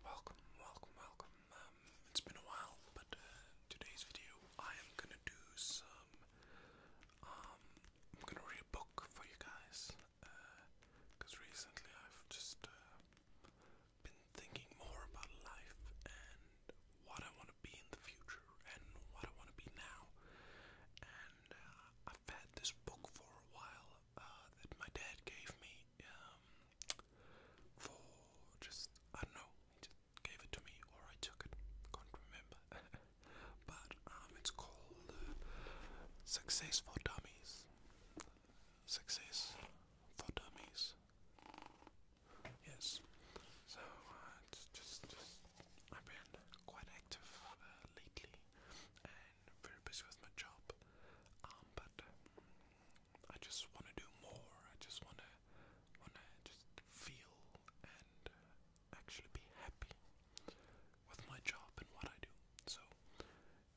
Welcome, welcome, welcome. Um, it's been a while, but uh, today's video I am gonna do some. Um, I'm gonna read a book for you guys, because uh, recently I've just uh, been thinking more about life and what I want to be in the future and what I want to be now. And I've had this book for a while that my dad gave me, um, for just, I don't know, he just gave it to me or I took it, can't remember. but um, it's called uh, Success for Dummies. Success for Dummies. Yes. So uh, it's just, I've been quite active uh, lately and very busy with my job. Um, but I just want to do more. I just want to want to just feel and uh, actually be happy with my job and what I do. So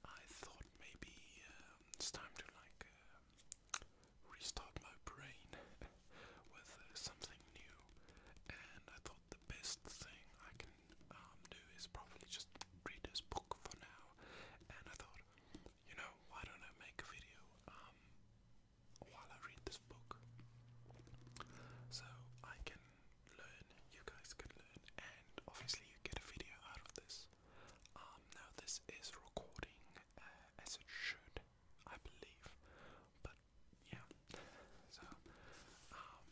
I thought maybe um, it's time to like uh, restart my brain with uh, something new. And I thought the best thing I can um, do is probably just read this book for now. And I thought you know, why don't I make a video um, while I read this book? So I can learn, you guys can learn, and obviously you get a video out of this. Um, now this is recording uh, as it should, I believe, but yeah. So um,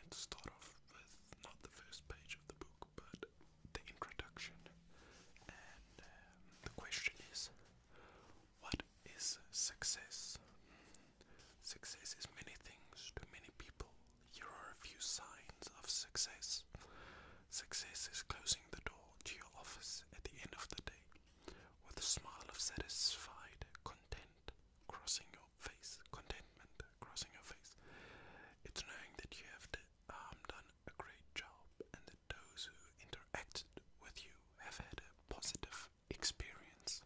let's start off with not the first page of the book, but the introduction. And um, the question is what is success? Success is many things to many people. Here are a few signs of success. Success is closing the door to your office at the end of the day with a smile of satisfied content crossing your face, contentment crossing your face. It's knowing that you have um, done a great job and that those who interacted with you have had a positive experience.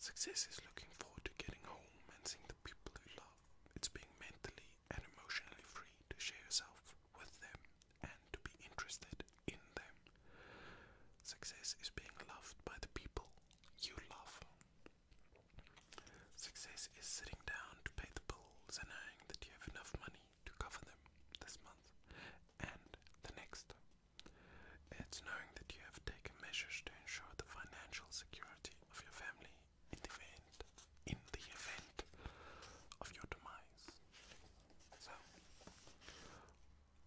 Success is looking forward to getting home and seeing the people you love. It's being mentally and emotionally free to share yourself with them and to be interested in them. Success is being loved by the people you love. Success is sitting down to pay the bills and knowing that you have enough money to cover them this month and the next. It's knowing that you have taken measures to ensure the financial security of your family in the event, in the event of your demise. So,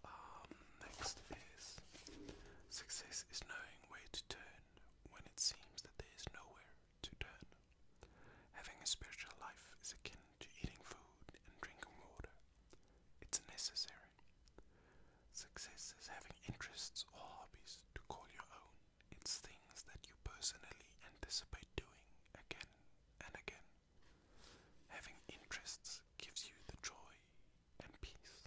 um, next is success is knowing where to turn when it seems that there is nowhere to turn. Having a spiritual life is akin to eating food and drinking water. It's necessary. Success is having interests or hobbies to call your own. It's things that you personally anticipate doing again and again. Having interests gives you the joy and peace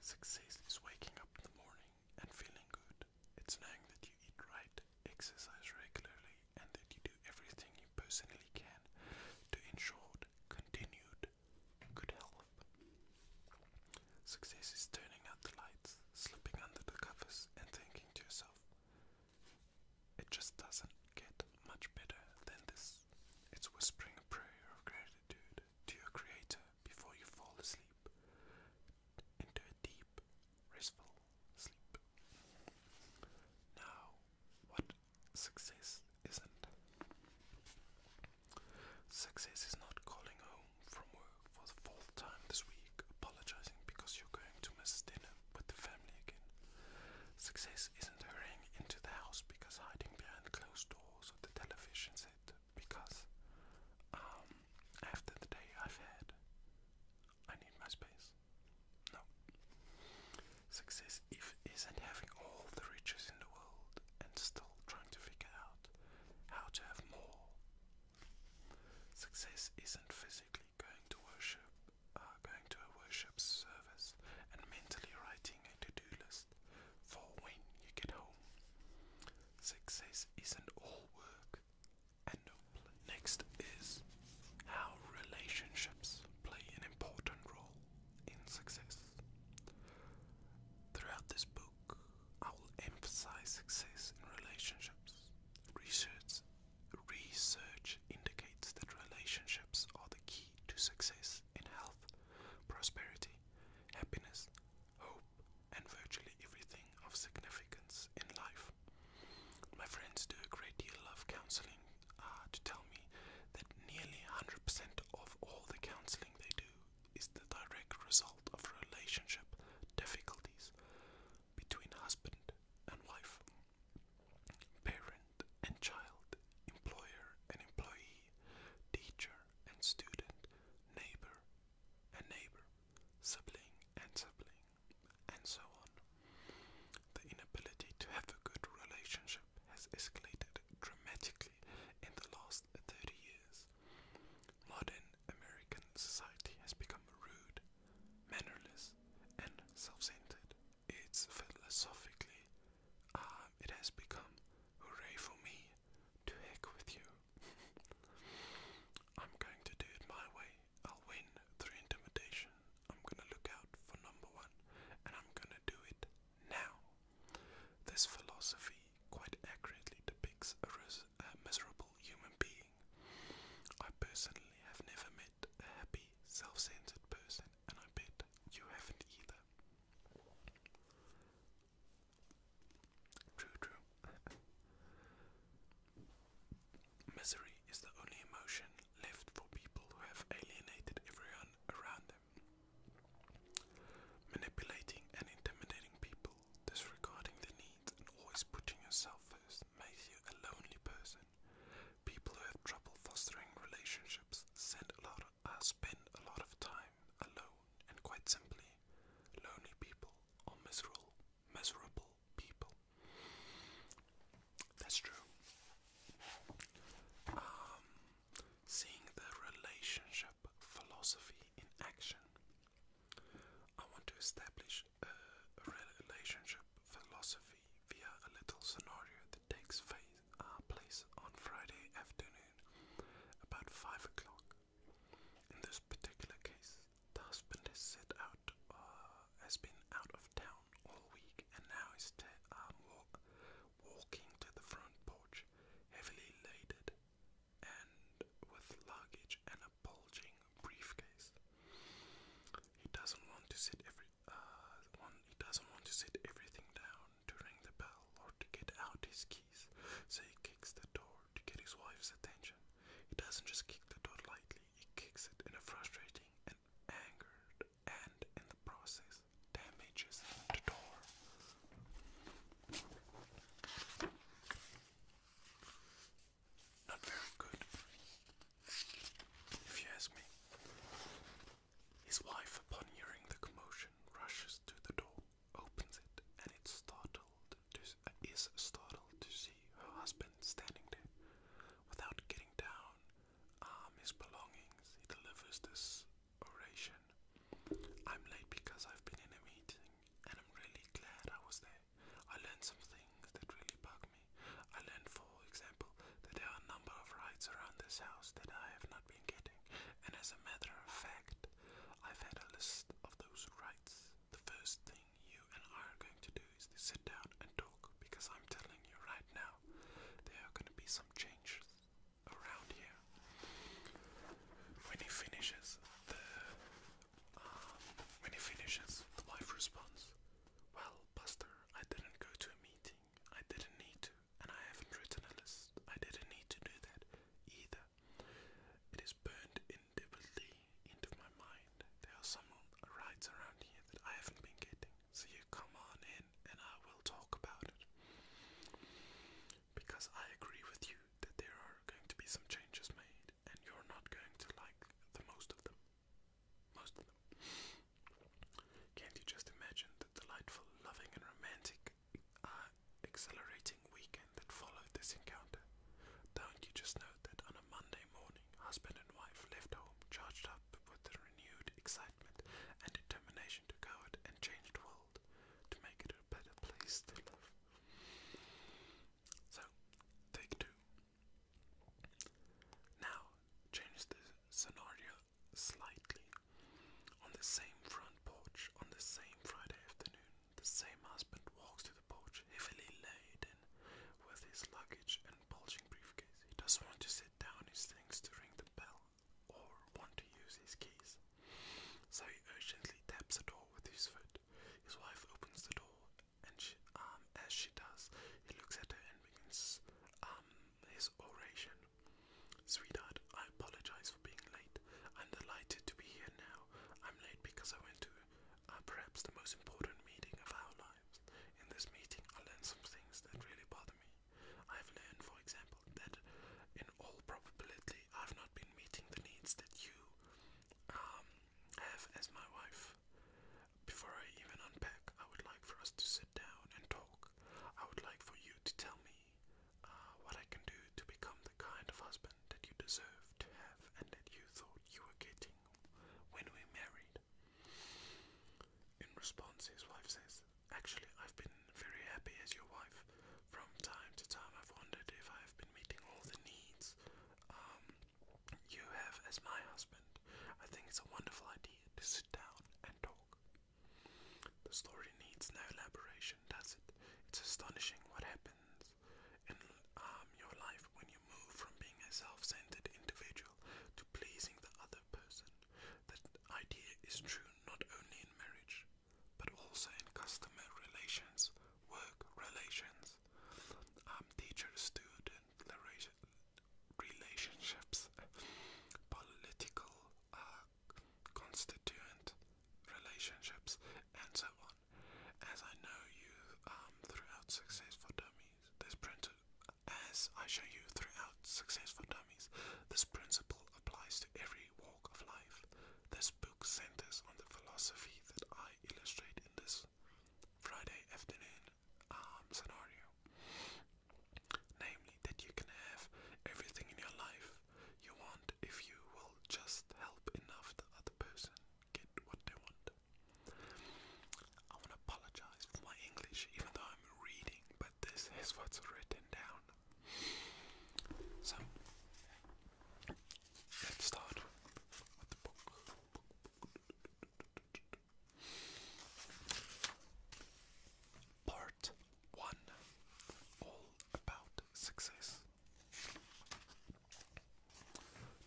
Success is waking up in the morning and feeling good. It's knowing that you eat right, exercise regularly, and that you do everything you personally can to ensure continued good health. Success is turning out the lights, slipping under the covers, and thinking to yourself, it just doesn't get much better than this. It's whispering a prayer of gratitude to your Creator before you fall asleep into a deep, restful sleep. Now, what success isn't? Success is not calling home from work for the fourth time this week, apologizing because you're going to miss dinner with the family again. Success isn't hurrying into the house because hiding behind closed doors the television set because um, after the day I've had, I need my space. No. Success isn't having all the riches in the world and still trying to figure out how to have more. Success isn't physically going to worship, uh, going to a worship service and mentally writing a to-do list for when you get home. Success isn't all work and Next is how relationships play an important role in success. Throughout this book, I will emphasize success in relationships. Research, research indicates that relationships are the key to success in health, prosperity, happiness, hope, and virtually everything of significance in life. My friends do a great deal of counseling uh, to tell me that nearly 100% of all the counseling they do is the direct result of relationship difficulties between husband and wife, parent and child, employer and employee, teacher and student, neighbor and neighbor, sibling and sibling, and so on. The inability to have a good relationship has escalated dramatically in the last 30 years. Modern American society has become rude, mannerless, and self centered. It's philosophically, um, it has become hooray for me, to heck with you. I'm going to do it my way. I'll win through intimidation. I'm gonna look out for number one, and I'm gonna do it now. This philosophy quite accurately depicts a, a miserable human being. I personally have never met a happy, self centered person, and I bet you haven't either. True, true. Misery is the only emotion left for people who have alienated everyone around them. Manipulating and intimidating people, disregarding their needs, and always putting yourself first makes you a lonely person. People who have trouble fostering relationships send a lot of uh, spend a lot of time alone, and quite simply, lonely people are miserable, miserable people. That's true. Um, seeing the relationship philosophy in action. I want to establish a relationship philosophy via a little scenario that takes uh, place on Friday afternoon about five o'clock. In this particular case, the husband out, uh, has been out of town all week, and now is um, walking to the front porch, heavily laden and with luggage and a bulging briefcase. He doesn't want to sit every, uh, he doesn't want to sit everything down to ring the bell or to get out his keys, so he kicks the door to get his wife's attention. He doesn't just kick the door lightly, he kicks it in a frustrating and angered and, in the process, damages the door. Not very good, if you ask me. His wife, upon hearing the commotion, rushes to the door opens it and it's startled uh, is startled to see her husband standing there without getting down um, belongings. He delivers this oration. I'm late because I've been in a meeting and I'm really glad I was there. I learned some things that really bug me. I learned, for example, that there are a number of rights around this house that I have not been getting, and as a matter of fact, I've had a list of those rights. The first thing you and I are going to do is to sit down and talk because I'm telling you right now, there are going to be some changes around here. When he finishes the, um, when he finishes, the wife responds, "Well, Buster, I didn't go to a meeting. I didn't need to and I haven't written a list. I didn't need to do that either. It is burned indelibly into my mind. There are some rights around here that I haven't been getting, so you come on in and I will talk about it. Because I agree with you that there are going to be some changes made, and you're not going to like the most of them. Most of them. Can't you just imagine the delightful, loving, and romantic uh, exhilarating weekend that followed this encounter. Don't you just know that on a Monday morning, husband and wife left home charged up with renewed excitement and determination to go out and change world, to make it a better place to live. So, take two. Now, change the scenario slightly. On the same front porch, on the same Friday afternoon, the same husband walks to the porch, heavily laden with his luggage and bulging briefcase. He doesn't want to sit down his things to ring the bell or want to use his keys. So he urgently taps the door with his foot. His wife opens the door, and she, um, as she does, he looks at her and begins um, his oration. Sweetheart, I apologize for being late. I'm delighted to be here now. I'm late because I went to uh, perhaps the most important meeting of our lives. In this meeting, I learned some things that really bother me. I've learned, for example, that in all probability, I've not been meeting the needs that you um, have as my wife. Before I even unpack, I would like for us to sit down and talk. I would like for you to tell me uh, what I can do to become the kind of husband that you deserve to have and that you thought you were getting when we married. In response, his wife says, Actually, I've been very happy as your wife. From time to time, I've wondered if I have been meeting all the needs um, you have as my husband. I think it's a wonderful idea to sit down and talk. The story needs no elaboration does it. It's astonishing what happens in um, your life when you move from being a self centered individual to pleasing the other person. That idea is true not only in marriage, but also in customer relations, work relations, um, teacher student relationships, political uh, constituent relationships, and so on. As I know you um, throughout successful Dummies, this principle, as I show you throughout successful Dummies, this principle applies to every walk of life. This book centers on the philosophy that I illustrate in this Friday afternoon um, scenario. Namely, that you can have everything in your life you want if you will just help enough the other person get what they want. I want to apologize for my English, even though I'm reading, but this is what's written down. So, let's start with the book. Part 1. All about success.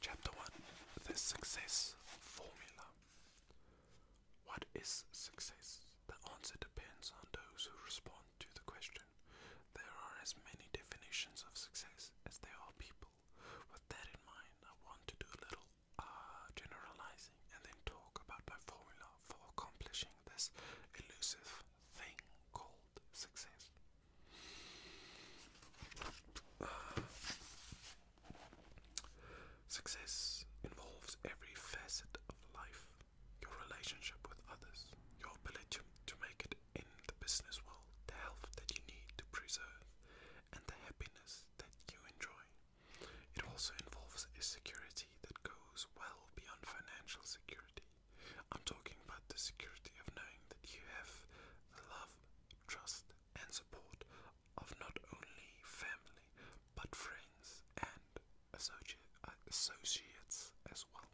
Chapter 1 The Success Formula. What is success? The answer depends on those who respond to the question. There are as many definitions of success as there are people. With that in mind, I want to do a little uh, generalizing and then talk about my formula for accomplishing this elusive thing called success. success involves every facet of life your relationship with others, your ability to make it in the business world, the health that you need to preserve, and the happiness that you enjoy. It also involves a security that goes well beyond financial security. I'm talking about the security of knowing that you have the love, trust, and support of not only family but friends and associates as well.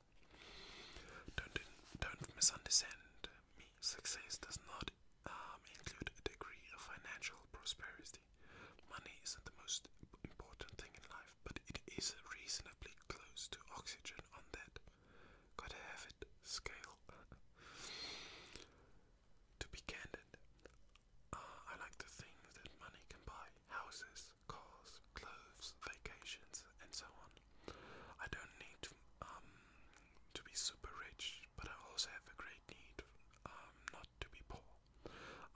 Don't, don't misunderstand me. Success does not um, include a degree of financial prosperity. Money isn't the most important thing in life but it is reasonably close to oxygen on that. Gotta have scale. to be candid, uh, I like the things that money can buy houses, cars, clothes, vacations, and so on. I don't need to, um, be super rich, but I also have a great need um, not to be poor.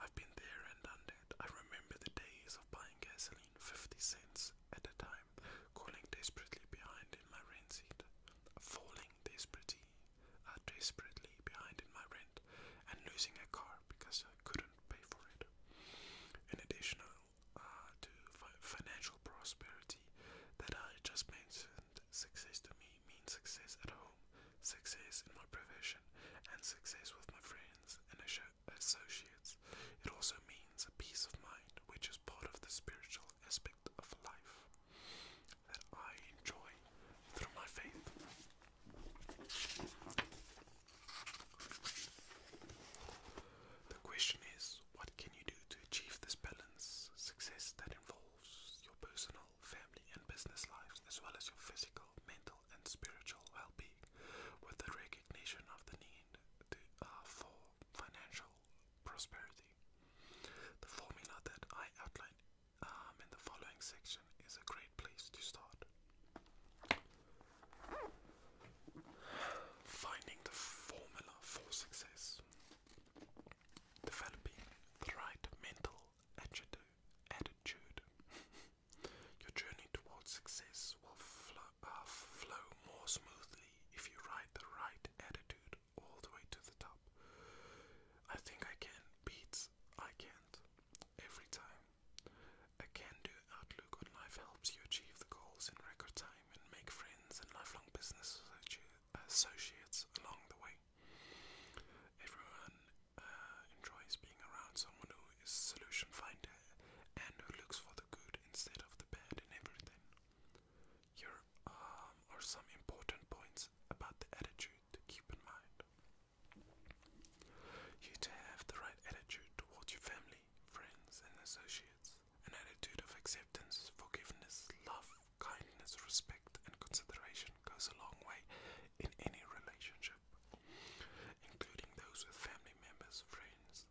I've been there and done that. I remember the days of buying gasoline 50 cents at a time, calling desperately behind in my rent seat, falling desperately, uh, desperately behind in my rent, and losing a car because I couldn't pay for it. In addition uh, to financial prosperity that I just mentioned, success to me means success at home, success in my profession, and success with my friends, and a, associates. It also means a peace of mind, which is part of the spiritual aspect of life that I enjoy through my faith. The question is, what can you do to achieve this balance, success that involves your personal, family, and business lives, as well as your physical, mental, and spiritual well being with the recognition of the need to, uh, for financial prosperity. The formula that I outline um, in the following section is a great place to start. Finding the formula for success. Developing the right mental attitude. Your journey towards success will flow uh, flow more smoothly if you ride the right attitude all the way to the top. I think I can beat I can't every time. A can-do outlook on life helps you achieve the goals in record time and make friends and lifelong business associates along the way. Everyone uh, enjoys being around someone who is solution finding and who looks for the good instead of the bad in everything. Here um, are some important points about the attitude to keep in mind. You need to have the right attitude towards your family, friends, and associates. An attitude of acceptance, forgiveness, love, kindness, respect, and consideration goes a long way in any relationship including those with family members, friends,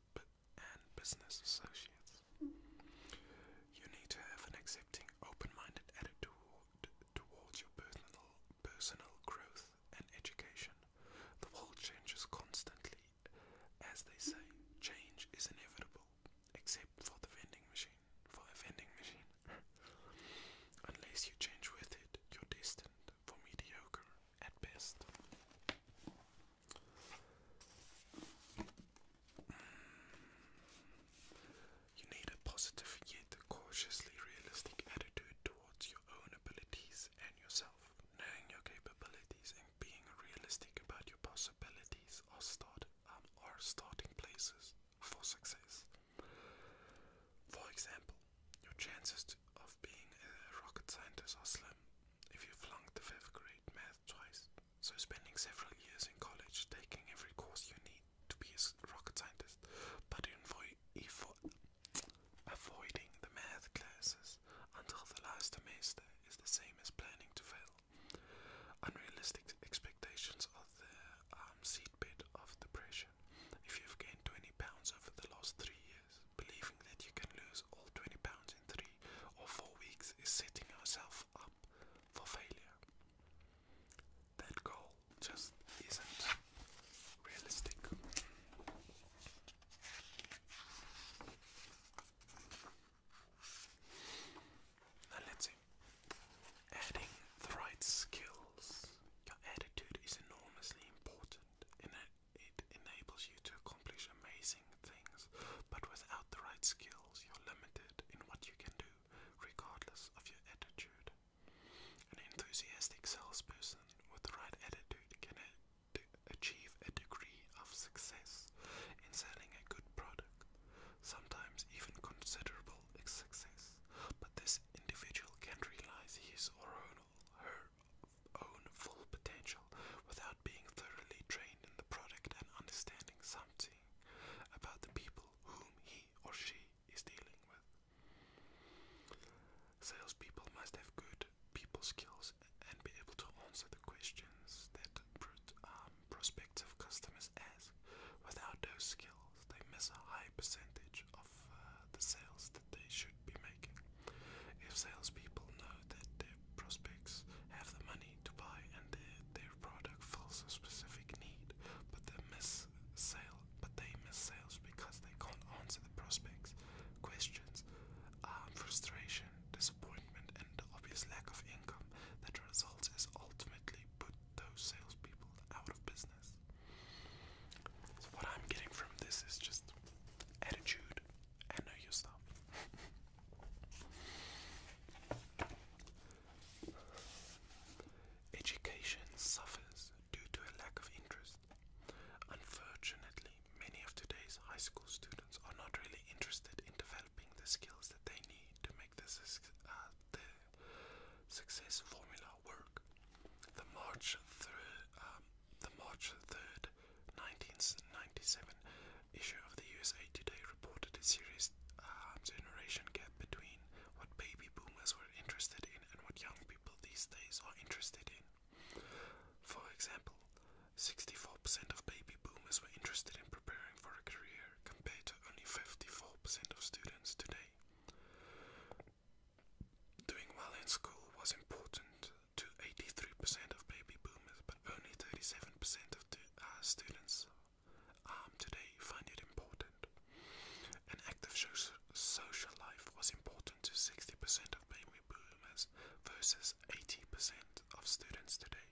and business associates. You need to have an accepting, open-minded attitude towards your personal personal growth and education. The world changes constantly. As they say, change is inevitable, except for the vending machine. For a vending machine. Unless you change with it, you're destined for mediocre at best. Mm. You need a positive cautiously realistic attitude towards your own abilities and yourself. Knowing your capabilities and being realistic about your possibilities are um, starting places for success. For example, your chances of being a rocket scientist are slim if you flunked the fifth grade math twice. So, spending several years in college taking every course you need to be a rocket scientist, but avoiding the math classes until the last semester is the same as planning to fail. Unrealistic expectations are the um, seat seedbed of depression. If you've gained 20 pounds over the last three years, Believing that you can lose all 20 pounds in three or four weeks is setting yourself up for failure. That goal just isn't realistic. Now let's see. Adding the right skills. Your attitude is enormously important in an it enables you to accomplish amazing things, but without the right skills, you're limited in what you can do, regardless of your attitude. An enthusiastic salesperson with the right attitude can achieve a degree of success in selling a good product, sometimes even considerable success, but this individual can not realize his own her own full potential without being thoroughly trained in the product and understanding something about the people whom he or she is dealing with. Salespeople must have good people skills and be able to answer the questions that um, prospective customers ask. Without those skills, they miss a high percentage of uh, the sales they should be making. If salespeople know that their prospects have the money to buy and their, their product fulfills a specific need, but they miss sale, but they miss sales because they can't answer the prospects' questions, um, frustration, disappointment, and obvious lack of income that results is ultimately put those salespeople out of business. So what I'm getting from this is just attitude Education suffers due to a lack of interest. Unfortunately, many of today's high school students are not really interested in developing the skills that they need to make the, uh, success formula work. the March 3rd um, 1997 issue of the USA Today reported a serious uh, generation gap between what baby boomers were interested in and what young people these days are interested in. For example, 64% of baby boomers were interested in preparing for a career compared to only 54% of students today. Doing well in school was important to 83% of baby boomers, but only 37% of uh, students um, today find it important. An active social life was important to 60% of baby boomers versus 80% of students today.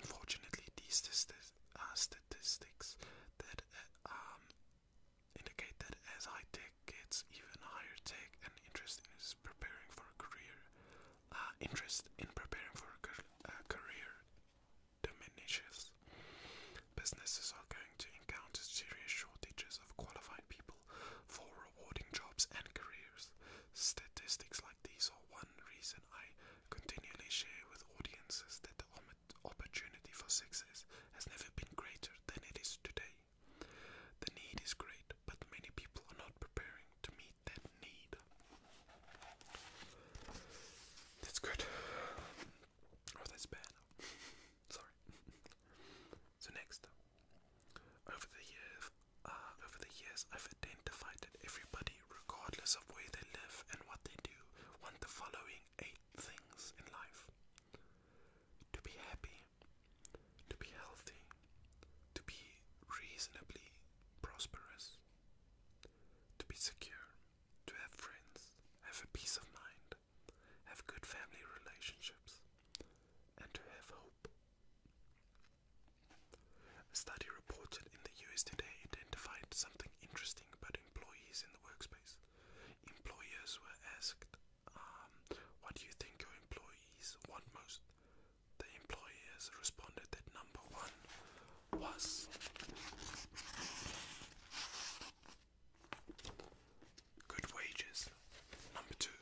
Unfortunately, these uh, statistics that uh, um, indicate that as I high gets even higher tech and uh, interest in preparing for a career. interest uh, in preparing for a career diminishes. Businesses are going to encounter serious shortages of qualified people for rewarding jobs and careers. Statistics like these are one reason I continually share with audiences that the opportunity for success has never been greater than it is today. The need is great, but many people are not preparing to meet that need. That's good. Or oh, bad. Sorry. so next, over the years, uh, over the years, I've identified that everybody, regardless of where they live and what they do, want the following eight things in life: to be happy, to be healthy, to be reasonably prosperous, to be secure, to have friends, have a peace of mind, have good family relationships, and to have hope. A study reported in the US today identified something interesting about employees in the workspace. Employers were asked um, what do you think your employees want most? The employees responded that number one was good wages, number two,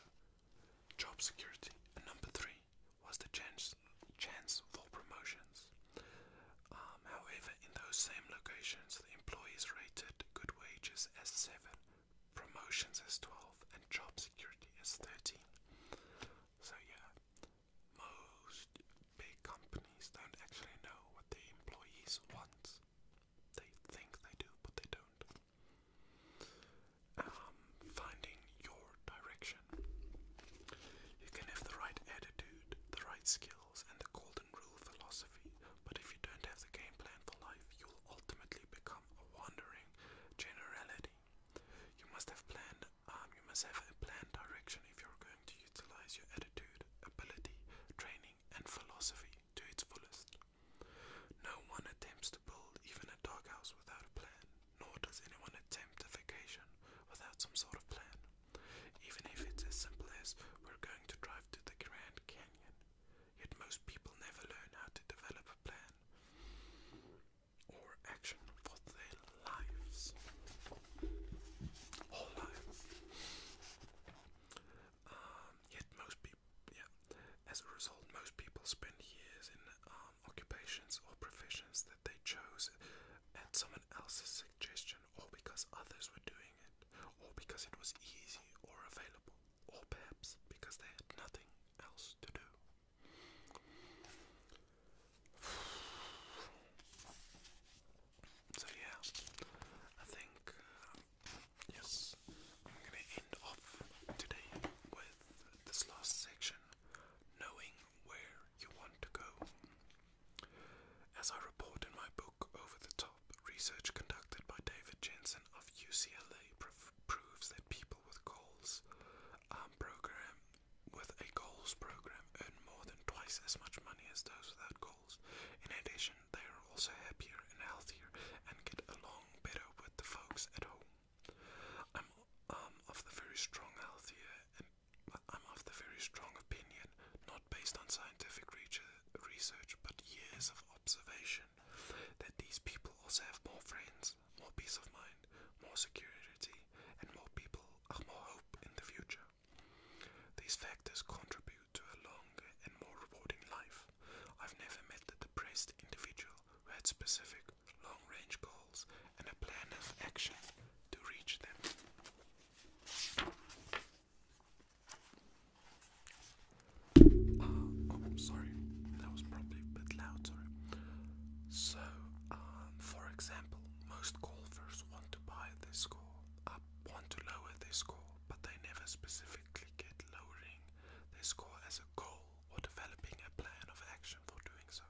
job security, and number three was the chance chance for promotions. Um, however, in those same locations, the employees rated good wages as seven promotions is 12, and job security is 13. So, yeah, most big companies don't actually know what the employees want. They think they do, but they don't. Um, finding your direction. You can have the right attitude, the right skills, and the golden rule philosophy, but if you don't have the game plan for life, you'll ultimately become a wandering generality. You must have planned. Um, you must have a planned direction if you're going to utilize your attitude, ability, training, and philosophy to its fullest. No one attempts to build even a doghouse without a plan, nor does anyone attempt a vacation without some sort of plan, even if it's as simple as we're going to drive to the Grand Canyon. Yet most people never learn how to develop a plan or action for their lives, whole lives. Um, yet most people, yeah, as a result, most people spend years in um, occupations or professions that they chose at someone else's suggestion, or because others were doing it, or because it was easy or available or perhaps because they had nothing else to do. So, yeah, I think, uh, yes, I'm gonna end off today with this last section knowing where you want to go. As I report in my book Over the Top, research conducted by David Jensen of UCLA proves that people with goals um, program with a goals program earn more than twice as much money as those without goals. In addition, they are also happier and healthier and get along better with the folks at home. I'm um, of the very strong healthier and I'm of the very strong opinion, not based on scientific research but years of observation that these people also have more friends, more peace of mind, more security, and more people have uh, more hope in the future. These factors contribute to a longer and more rewarding life. I've never met a depressed individual who had specific long range goals and a plan of action to reach them. Oh, i sorry, that was probably a bit loud, So, um, for example, most golfers want to buy this score, want to lower their score, but they never specifically get lowering their score as a goal or developing a plan of action for doing so.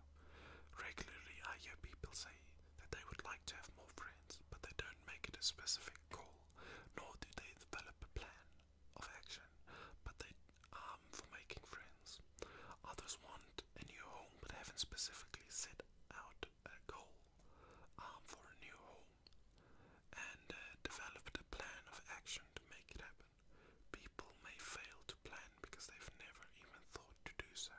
Regularly, I hear people say that they would like to have more friends, but they don't make it a specific goal, nor do they develop a plan of action, but they um for making friends. Others want a new home but haven't specifically set out a goal um, for a new home and uh, developed a plan of action to make it happen. People may fail to plan because they've never even thought to do so,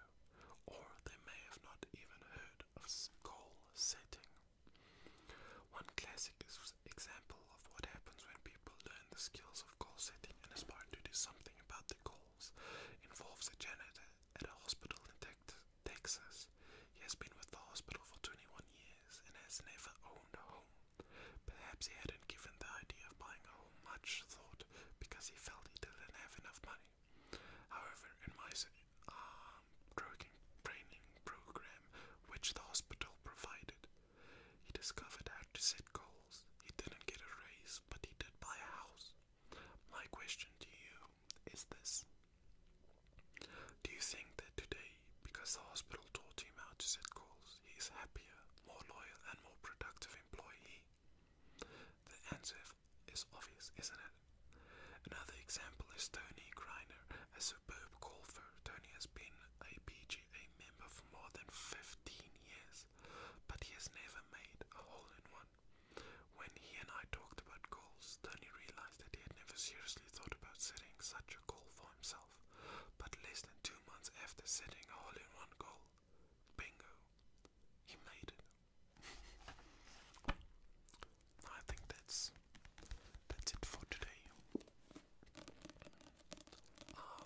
or they may have not even heard of goal setting. One classic example of what happens when people learn the skills of goal setting and aspire to do something about their goals involves a janitor at a hospital in Texas. He has been with the hospital for 21 years and has never owned a home. Perhaps he hadn't given the idea of buying a home much thought because he felt he didn't have enough money. However, in my um, training program, which the hospital provided, he discovered how to set goals. He didn't get a raise, but he did buy a house. My question to you is this Do you think that today, because the hospital taught him how to set goals, he is happier, more loyal, and more productive employee? The answer is obvious, isn't it? Another example is Tony Griner a superb golfer, Tony has been a PGA member for more than 15 years, but he has never made a hole in one. When he and I talked about goals, Tony realized that he had never seriously thought about setting such a goal for himself. But less than two months after setting a hole in one goal, bingo, he made it. I think that's that's it for today. Um,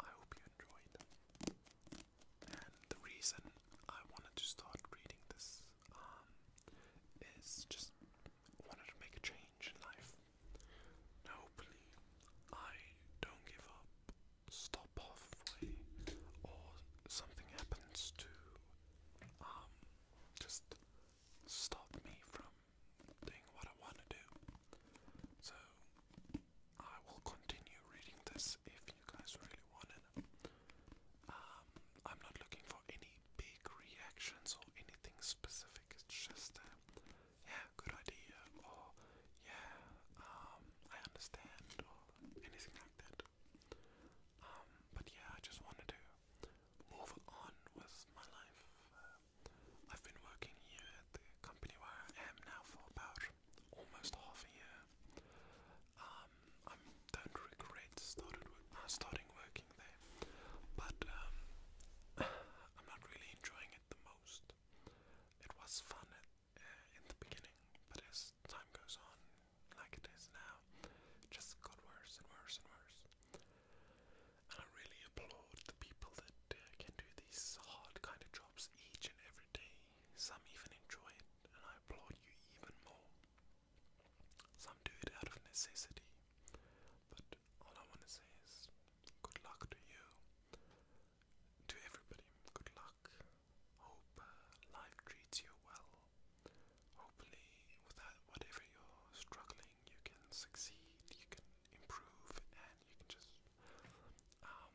I hope you enjoyed. And the reason I wanted to start reading this um, is just wanted to make a change in life. And hopefully, I don't give up, stop halfway, or something happens to um, just stop me from doing what I want to do. So I will continue reading this if you guys really want um, I'm not looking for any big reactions or anything specific. It's just, uh, yeah, good idea, or yeah, um, I understand, or anything like that. Um, but yeah, I just wanted to move on with my life. I've been working here at the company where I am now for about almost half a year. Um, I don't regret started uh, starting working there, but um, I'm not really enjoying it the most. It was fun at, uh, in the beginning, but as time goes on, like it is now, it just got worse and worse and worse. And I really applaud the people that uh, can do these hard kind of jobs each and every day. Some even enjoy it, and I applaud you even more. Some do it out of necessity. But all I want to say is good luck to you, to everybody. Good luck. Hope uh, life treats you well. Hopefully, without whatever you're struggling you can succeed, you can improve, and you can just do um,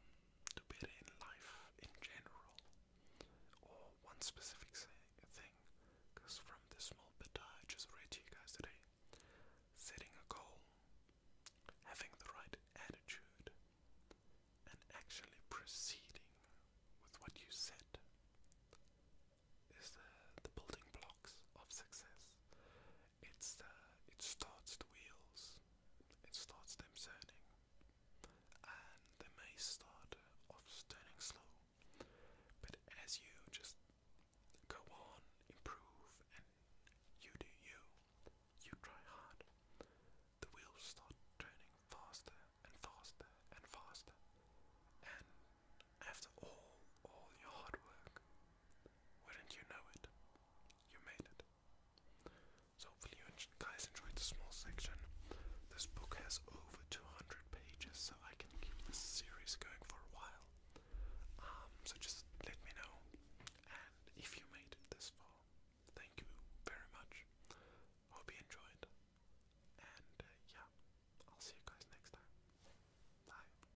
better in life in general, or one specific thing. Because from the small bit I just read to you guys today, setting a goal, having the right attitude, and actually proceeding with what you said is the building blocks of success it's the, it starts the wheels, it starts them turning, and they may start off turning slow, but as you just go on, improve, and you do you, you try hard, the wheels start turning faster and faster and faster, and after all, all your hard work, wouldn't you know it? You made it. So hopefully you guys enjoyed the small section. This book has over 200 pages, so I can keep this series going for a while. Um, so just let me know, and if you made it this far, thank you very much. Hope you enjoyed, and uh, yeah, I'll see you guys next time. Bye.